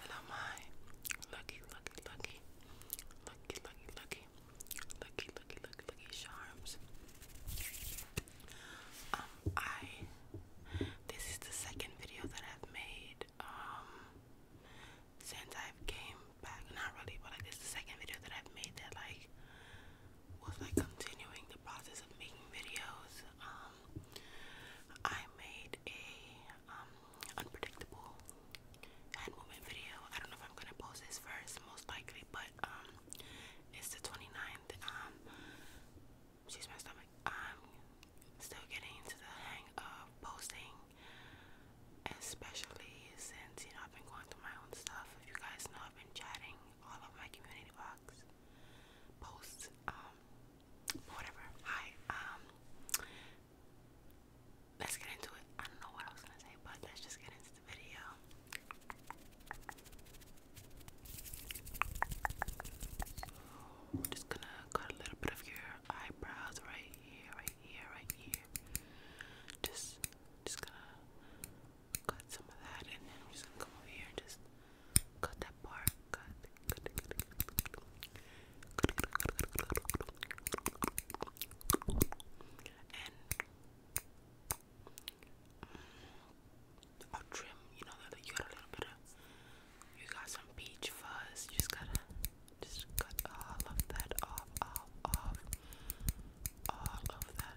Hello, my lucky, lucky, lucky, lucky, lucky, lucky, lucky, lucky, charms. Um, I this is the second video that I've made um, since I've came not really, but like this the second video that I've made that like was like continuing the process of making videos. Um, I made a um, unpredictable hand movement video. I don't know if I'm gonna post this first, most likely, but um, it's the 29th. Um, she's my stomach. I'm still getting into the hang of posting, especially since you know I've been going through my own stuff. If you guys know, i and all of my community box posts, um, whatever. Hi, um, let's get into it. I don't know what I was gonna say, but let's just get into the video. just gonna cut a little bit of your eyebrows right here, right here, right here. Just, just gonna cut some of that, and then we're just gonna come over here and just cut that part. Cut, cut, cut, cut, cut. And mm, I'll trim, you know, that you got a little bit of, you got some peach fuzz. You just gotta just cut all of that off, off, off, all of that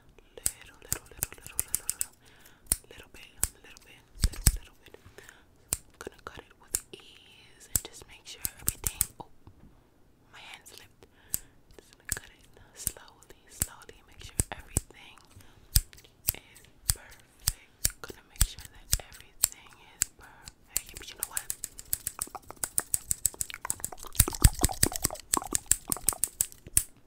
little, little, little, little, little, little, little bit, little bit, little, little bit. gonna cut it with ease and just make sure everything. Oh, my hand slipped. Just gonna cut it slowly, slowly. Make sure everything is perfect. Gonna make sure that everything is perfect. But you know what?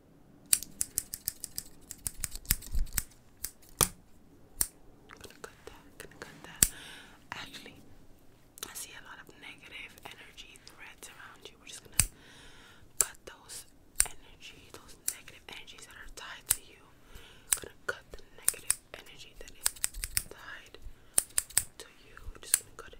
Gonna cut that, gonna cut that. Actually, I see a lot of negative energy threads around you. We're just gonna cut those energy, those negative energies that are tied to you. Gonna cut the negative energy that is tied to you. Just gonna cut it.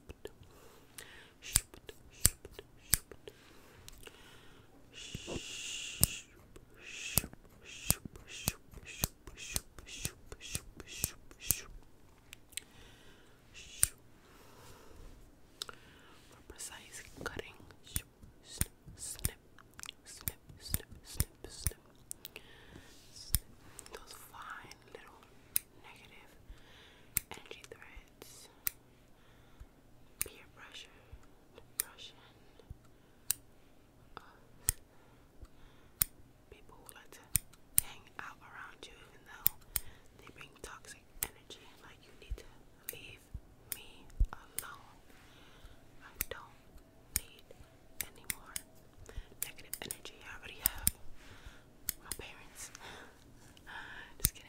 for precise cutting, snip, snip, snip, snip, snip, snip, snip. Those fine little negative energy threats, peer pressure, depression, uh, people who like to hang out around you even though they bring toxic energy. Like, you need to leave me alone. I don't need any negative energy. I already have my parents. Uh, just kidding.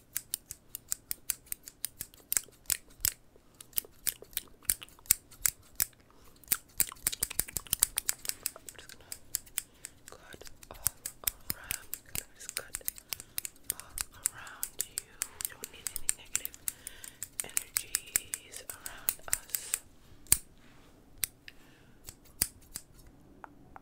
just gonna cut all around. Gonna cut all around you. We don't need any negative energies around us.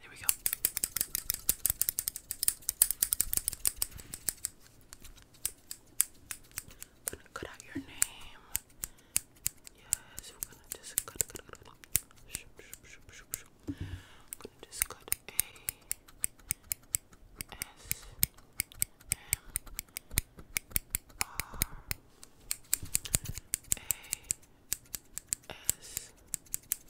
There we go. gonna cut out your name. Yes, we're gonna just cut, cut, cut, cut. Shoop, shoop, gonna just cut A S M R A S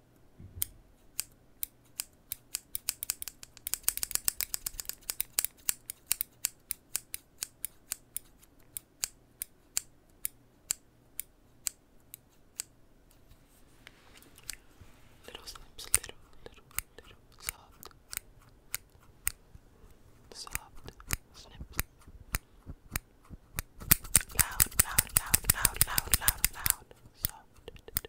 Little little, little, little, soft, soft, snips. Loud, loud, loud, loud, loud, loud, loud, soft,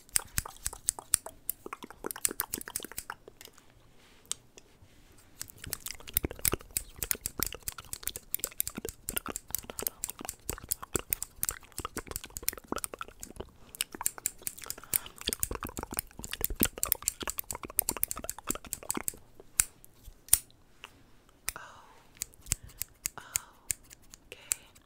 Oh, oh, okay